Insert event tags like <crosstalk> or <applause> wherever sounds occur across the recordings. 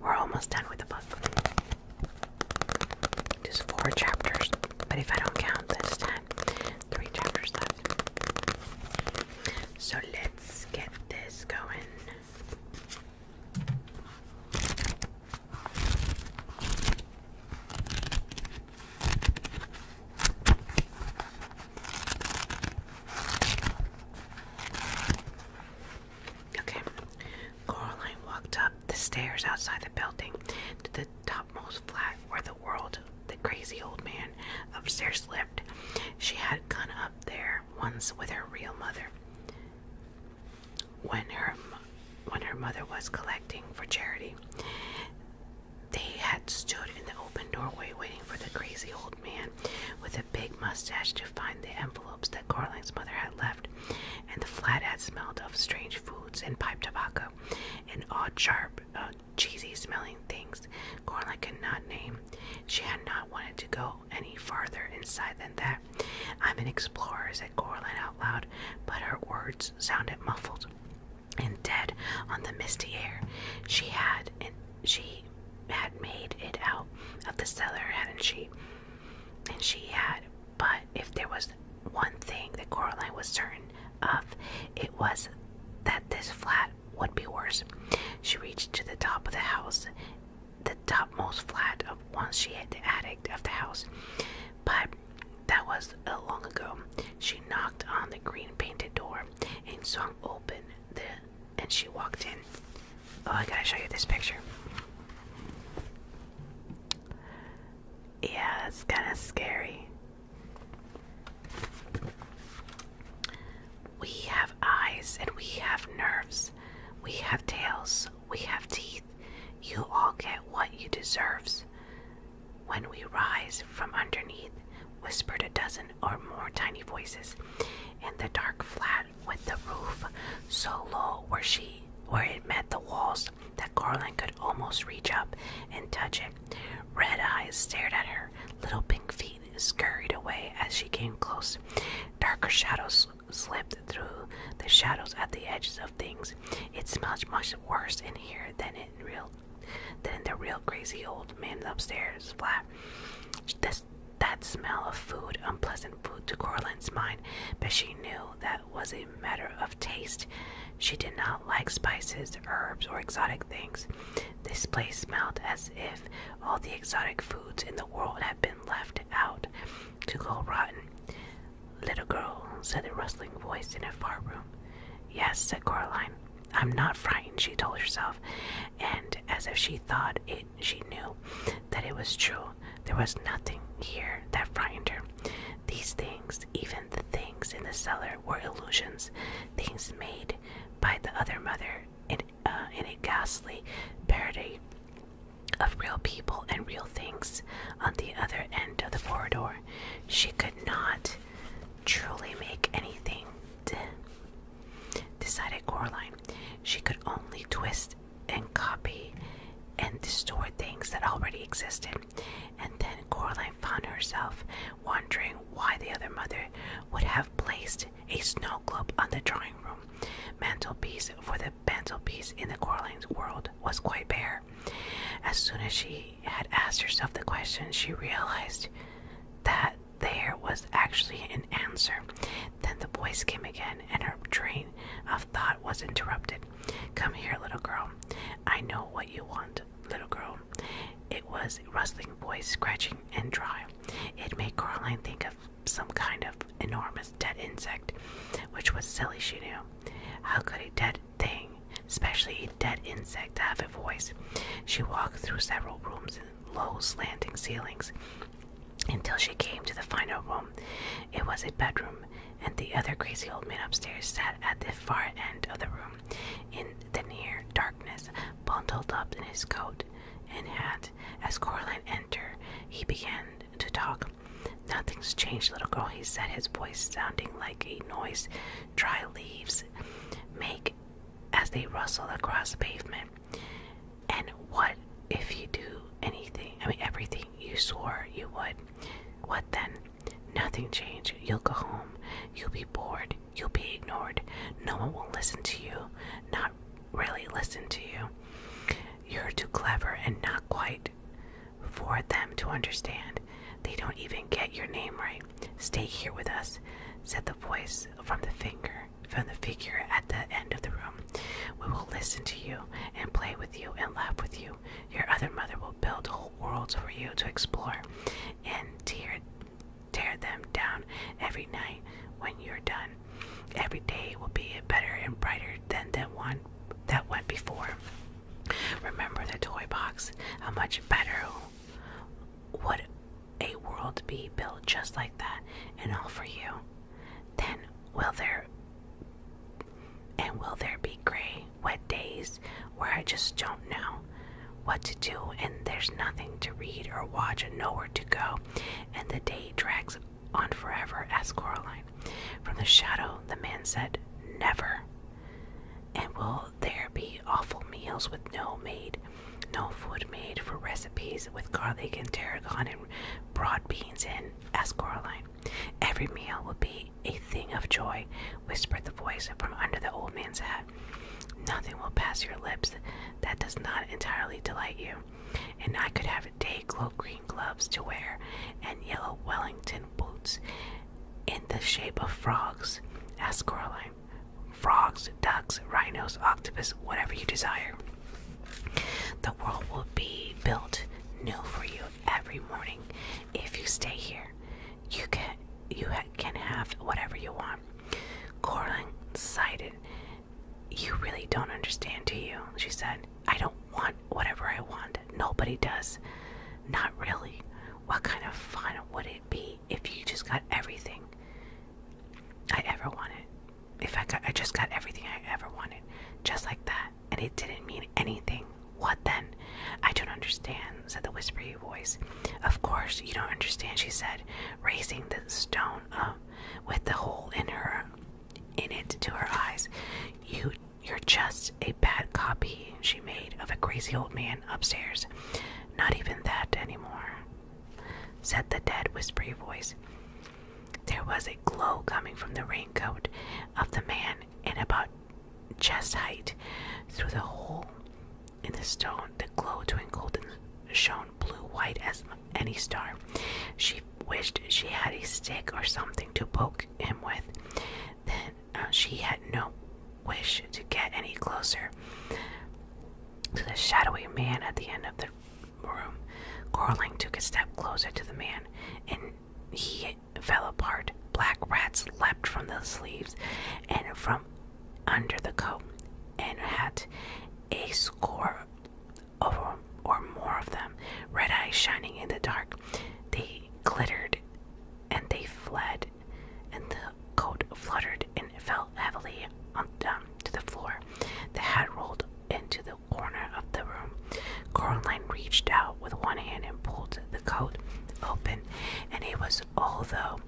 We're almost done with the book. Just four chapters, but if I don't count this time, three chapters left. So let's get this going. Okay. Coraline walked up the stairs outside the building to the topmost flat where the world, the crazy old man upstairs lived. She had gone up there once with her real mother. When her when her mother was collecting for charity, they had stood in the open doorway waiting for the crazy old man with a big mustache to find the envelopes that Carling's mother had left, and the flat had smelled of strange foods and pipe tobacco and odd, sharp, uh, cheesy smelling things Carling could not name. She had not wanted to go any farther inside than that. I'm an explorer, said Coraline out loud, but her words sounded muffled and dead on the misty air. She had and she had made it out of the cellar, hadn't she? And she had. But if there was one thing that Coraline was certain of, it was that this flat would be worse. She reached to the top of the house, the topmost flat of once she had the attic of the house. But that was uh, long ago. She knocked on the green painted door and Song opened the and she walked in. Oh, I gotta show you this picture. Yeah, it's kind of scary. We have eyes and we have nerves. We have tails. We have teeth. You all get what you deserve. When we rise from underneath, whispered a dozen or more tiny voices. In the dark flat with the roof so low where she where it met the walls that Garland could almost reach up and touch it. Red eyes stared at her, little pink feet scurried away as she came close. Darker shadows slipped through the shadows at the edges of things. It smells much worse in here than in real then the real crazy old man upstairs, flat. This, that smell of food, unpleasant food to Coraline's mind, but she knew that was a matter of taste. She did not like spices, herbs, or exotic things. This place smelled as if all the exotic foods in the world had been left out to go rotten. Little girl, said a rustling voice in a far room. Yes, said Coraline. I'm not frightened, she told herself, and as if she thought it, she knew that it was true. There was nothing here that frightened her. These things, even the things in the cellar, were illusions, things made by the other mother in, uh, in a ghastly parody of real people and real things on the other end of the corridor. She could not truly make anything, decided Coraline. She could only twist and copy and distort things that already existed. And then Coraline found herself wondering why the other mother would have placed a snow globe on the drawing room mantelpiece, for the mantelpiece in the Coraline's world was quite bare. As soon as she had asked herself the question, she realized that there was actually an answer. Then the voice came again, and her train of thought was interrupted. Come here, little girl. I know what you want, little girl. It was rustling voice, scratching and dry. It made Caroline think of some kind of enormous dead insect, which was silly, she knew. How could a dead thing, especially a dead insect to have a voice. She walked through several rooms and low slanting ceilings until she came to the final room. It was a bedroom, and the other crazy old man upstairs sat at the far end of the room in the near darkness, bundled up in his coat and hat. As Coraline entered, he began to talk. Nothing's changed, little girl, he said, his voice sounding like a noise dry leaves make as they rustle across the pavement. And what if you do anything? I mean, everything you swore you would. What then? Nothing changed. You'll go home. You'll be bored. You'll be ignored. No one will listen to you. Not really listen to you. You're too clever and not quite for them to understand. They don't even get your name right. Stay here with us, said the voice from the finger from the figure at the end of the room. We will listen to you and play with you and laugh with you. Your other mother will build whole worlds for you to explore and tear tear them down every night when you're done. Every day will be better and brighter than the one that went before. Remember the toy box? How much better would a world be built just like that and all for you? Then will there and will there be gray, wet days where I just don't know what to do and there's nothing to read or watch and nowhere to go and the day drags on forever? asked Coraline. From the shadow, the man said, Never. And will there be awful meals with no maid, no food made for recipes with garlic and tarragon and broad beans in? asked Coraline. Every meal will be a thing of joy, whispered the voice from under the old man's hat. Nothing will pass your lips that does not entirely delight you, and I could have a day glow green gloves to wear and yellow Wellington boots in the shape of frogs? asked Coraline. Frogs, ducks, rhinos, octopus, whatever you desire. The world will be built new for you every morning if you stay here. You can you can have whatever you want. Coraline sighed. You really don't understand, do you? She said. I don't want whatever I want. Nobody does. Not really. What kind of fun would it be if you just got everything I ever wanted? If I got I just got everything I ever wanted. Just like that. And it didn't mean anything. What then? I don't understand, said the whispery voice. Of course you don't understand, she said, raising the stone up with the hole in her in it to her eyes. You you're just a bad copy she made of a crazy old man upstairs. Not even that anymore, said the dead, whispery voice. There was a glow coming from the raincoat of the man in about chest height through the hole in the stone. The glow twinkled and shone blue white as any star. She wished she had a stick or something to poke him with. Then uh, she had no wish to get any closer to the shadowy man at the end of the room. Coraline took a step closer to the man, and he fell apart. Black rats leapt from the sleeves and from under the coat and hat. A score of or more of them, red eyes shining in the dark. They glittered and they fled, and the coat fluttered and fell heavily on, um, to the floor. The hat rolled into the corner of the room. Caroline reached out with one hand and pulled the coat open, and it was, all though,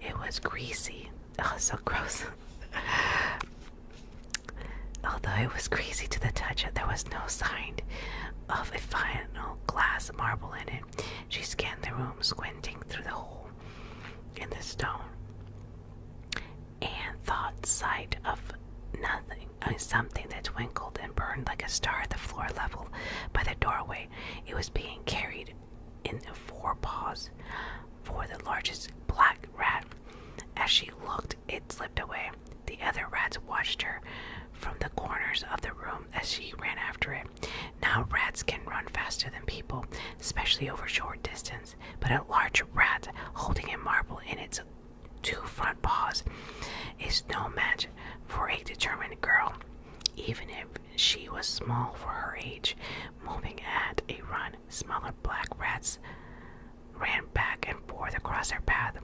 it was greasy, oh, <laughs> so gross. Although it was crazy to the touch, there was no sign of a final glass marble in it. She scanned the room, squinting through the hole in the stone, and thought sight of nothing, uh, something that twinkled and burned like a star at the floor level by the doorway. It was being carried in four paws for the largest black rat. As she looked, it slipped away the other rats watched her from the corners of the room as she ran after it. Now, rats can run faster than people, especially over short distance, but a large rat holding a marble in its two front paws is no match for a determined girl, even if she was small for her age. Moving at a run, Smaller black rats ran back and forth across her path,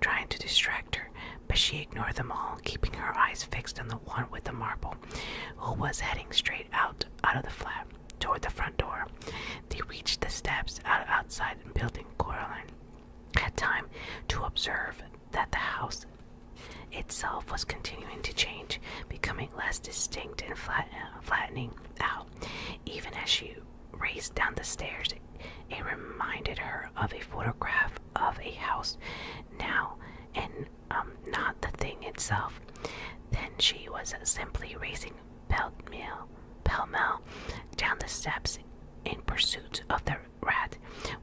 trying to distract her, but she ignored them all, keeping her eyes fixed on the one with the marble, who was heading straight out out of the flat toward the front door. They reached the steps out outside the building. Coraline had time to observe that the house itself was continuing to change, becoming less distinct and flattening out, even as she raced down the stairs. It reminded her of a photograph of a house now and um, not the thing itself. Then she was simply racing pell mell down the steps in pursuit of the rat,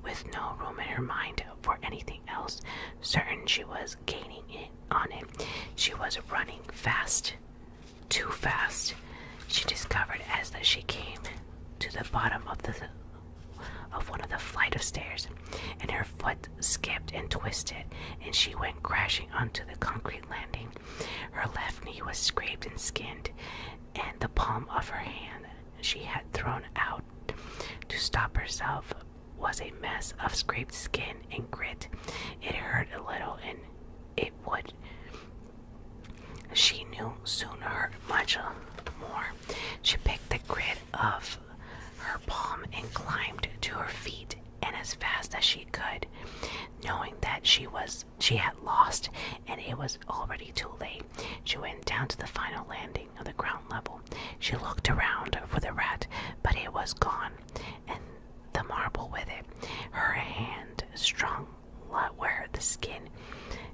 with no room in her mind for anything else. Certain she was gaining on it. She was running fast too fast, she discovered as that she came to the bottom of the of one of the flight of stairs, and her foot skipped and twisted, and she went crashing onto the concrete landing. Her left knee was scraped and skinned, and the palm of her hand she had thrown out to stop herself was a mess of scraped skin and grit. It hurt a little, and it would, she knew, soon hurt much more. She picked the grid of her palm and climbed to her feet, and as fast as she could, knowing that she was she had lost, and it was already too late. She went down to the final landing on the ground level. She looked around for the rat, but it was gone, and the marble with it. Her hand strung where the skin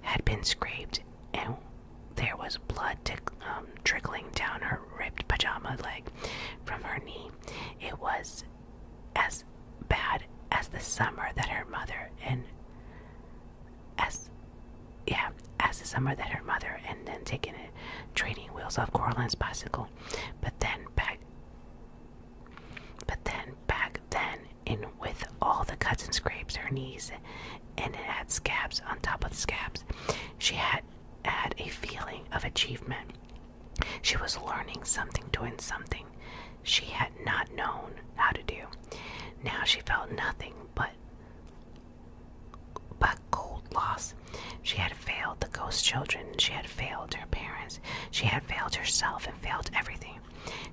had been scraped, and there was blood um, trickling down her ripped pajama leg from her knee. It was as bad as the summer that her mother and as yeah, as the summer that her mother and then taken it training wheels off Coraline's bicycle but then back but then back then in with all the cuts and scrapes her knees and it had scabs on top of the scabs. She had had a feeling of achievement. She was learning something, doing something she had not known how to do. Now she felt nothing but but cold loss. She had failed the ghost children, she had failed her parents, she had failed herself and failed everything.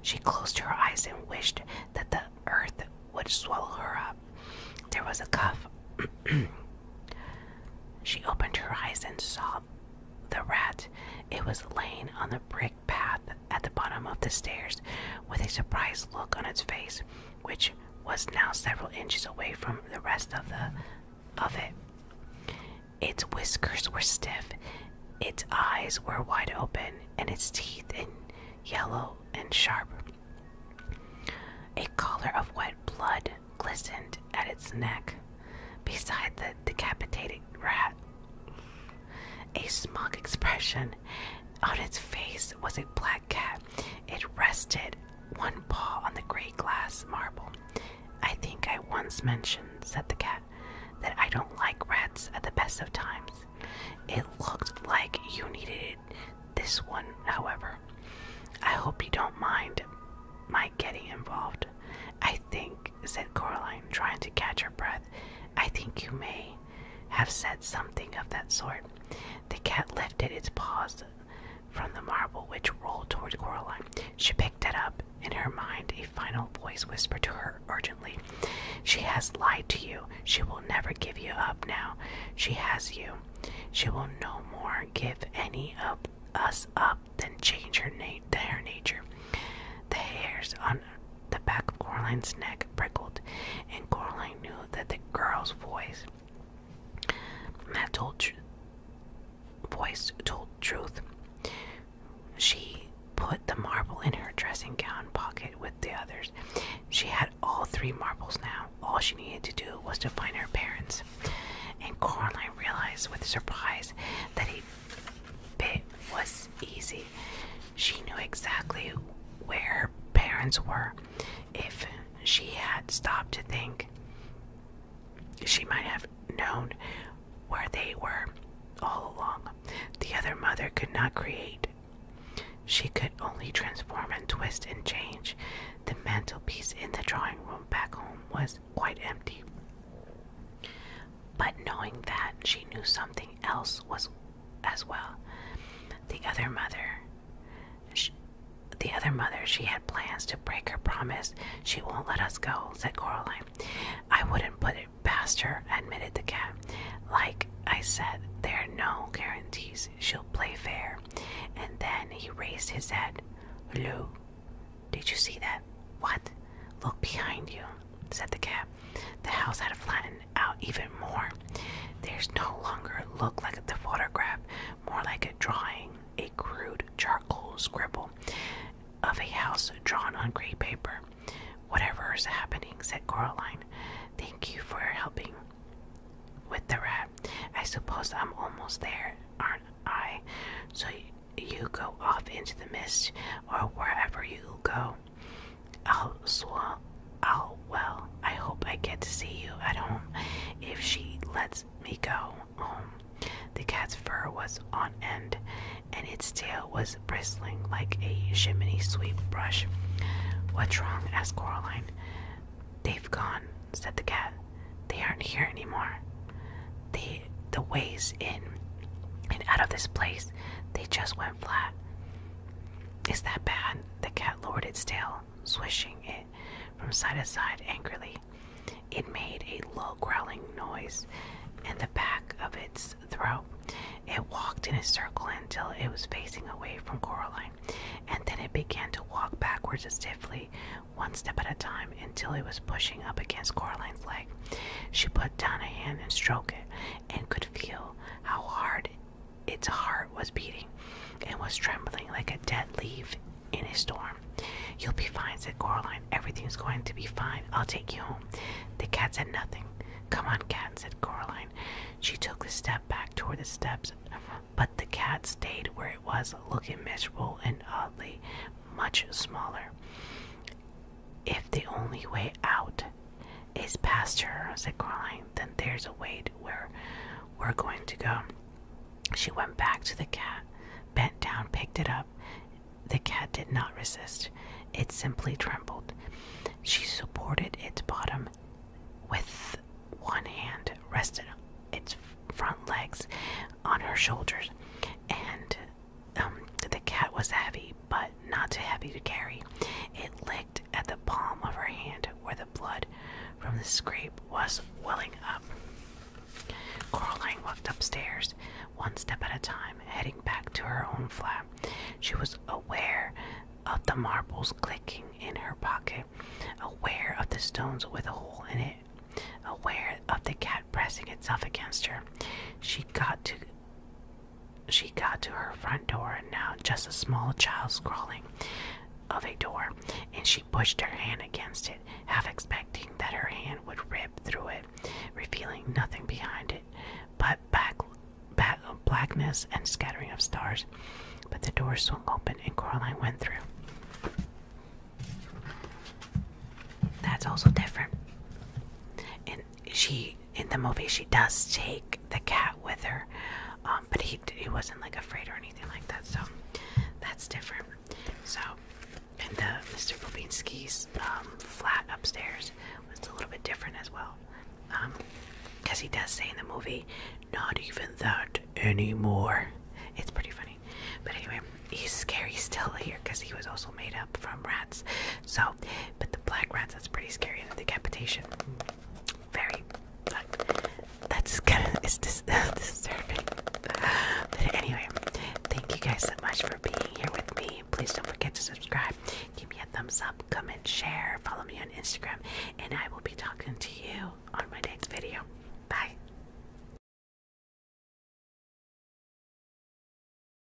She closed her eyes and wished that the earth would swallow her up. There was a cuff. <clears throat> she opened her eyes and saw the rat. It was laying on the brick path at the bottom of the stairs with a surprised look on its face which was now several inches away from the rest of the of it. Its whiskers were stiff, its eyes were wide open, and its teeth in yellow and sharp. A collar of wet blood glistened at its neck beside the decapitated rat. A smug expression on its face was a black cat. It rested one paw on the grey glass marble. I think I once mentioned, said the cat, that I don't like rats at the best of times. It looked like you needed it. This one, however. I hope you don't mind my getting involved. I think, said Coraline, trying to catch her breath, I think you may have said something of that sort. The cat lifted its paws from the marble which rolled toward Coraline. She picked it up. In her mind, a final voice whispered to her urgently, She has lied to you. She will never give you up now. She has you. She will no more give any of us up than change her, nature. The hairs on the back of Coraline's neck prickled, and Coraline knew that the girl's voice that told voice told truth. She put the marble in her dressing gown pocket with the others. She had all three marbles now. All she needed to do was to find her parents. And Coraline realized with surprise that a bit was easy. She knew exactly where her parents were. If she had stopped to think, she might have known where they were all along. The other mother could not create. She could only transform and twist and change. The mantelpiece in the drawing room back home was quite empty. But knowing that, she knew something else was as well. The other mother the other mother, she had plans to break her promise. She won't let us go, said Coraline. I wouldn't put it past her, admitted the cat. Like I said, there are no guarantees. She'll play fair. And then he raised his head. Lou, did you see that? What? Look behind you, said the cat. The house had a flattened out even more. There's no longer look like the photograph, more like a drawing, a crude charcoal scribble of a house drawn on gray paper. Whatever is happening, said Coraline. Thank you for helping with the rat. I suppose I'm almost there, aren't I? So you go off into the mist or wherever you go. Al Swell. Al well. I hope I get to see you at home if she lets me go home. Um, the cat's fur was on end, and its tail was bristling like a chimney sweep brush. What's wrong? asked Coraline. They've gone, said the cat. They aren't here anymore. They, the ways in and out of this place, they just went flat. Is that bad? the cat lowered its tail, swishing it from side to side angrily. It made a low growling noise in the back of its throat. It walked in a circle until it was facing away from Coraline, and then it began to walk backwards stiffly, one step at a time, until it was pushing up against Coraline's leg. She put down a hand and stroked it, and could feel how hard its heart was beating and was trembling like a dead leaf in a storm. You'll be fine, said Coraline. Everything's going to be fine. I'll take you home. The cat said nothing. Come on, cat, said Coraline. She took a step back toward the steps, but the cat stayed where it was, looking miserable and oddly much smaller. If the only way out is past her, said Caroline. Then there's a way to where we're going to go. She went back to the cat, bent down, picked it up. The cat did not resist, it simply trembled. She supported its bottom with one hand, rested its front legs on her shoulders, and um, the cat was heavy, but not too heavy to carry. It licked at the palm of her hand where the blood from the scrape was welling up. Coraline walked upstairs, one step at a time, heading back to her own flat. She was aware of the marbles clicking in her pocket, aware of the stones with a hole in it, aware of the cat pressing itself against her. She got to she got to her front door, and now just a small child's crawling of a door, and she pushed her hand against it, half expecting that her hand would rip through it, revealing nothing behind it but back, blackness and scattering of stars. But the door swung open, and Coraline went through. That's also different she in the movie she does take the cat with her, um, but he he wasn't like afraid or anything like that. So that's different. So and the Mr. Babinski's um, flat upstairs was a little bit different as well, because um, he does say in the movie, "Not even that anymore." It's pretty funny. But anyway, he's scary still here because he was also made up from rats. So, but the black rats, that's pretty scary. The decapitation, very, like, that's kind of, is dis <laughs> disturbing. But anyway, thank you guys so much for being here with me. Please don't forget to subscribe. Give me a thumbs up, comment, share, follow me on Instagram, and I will be talking to you on my next video. Bye.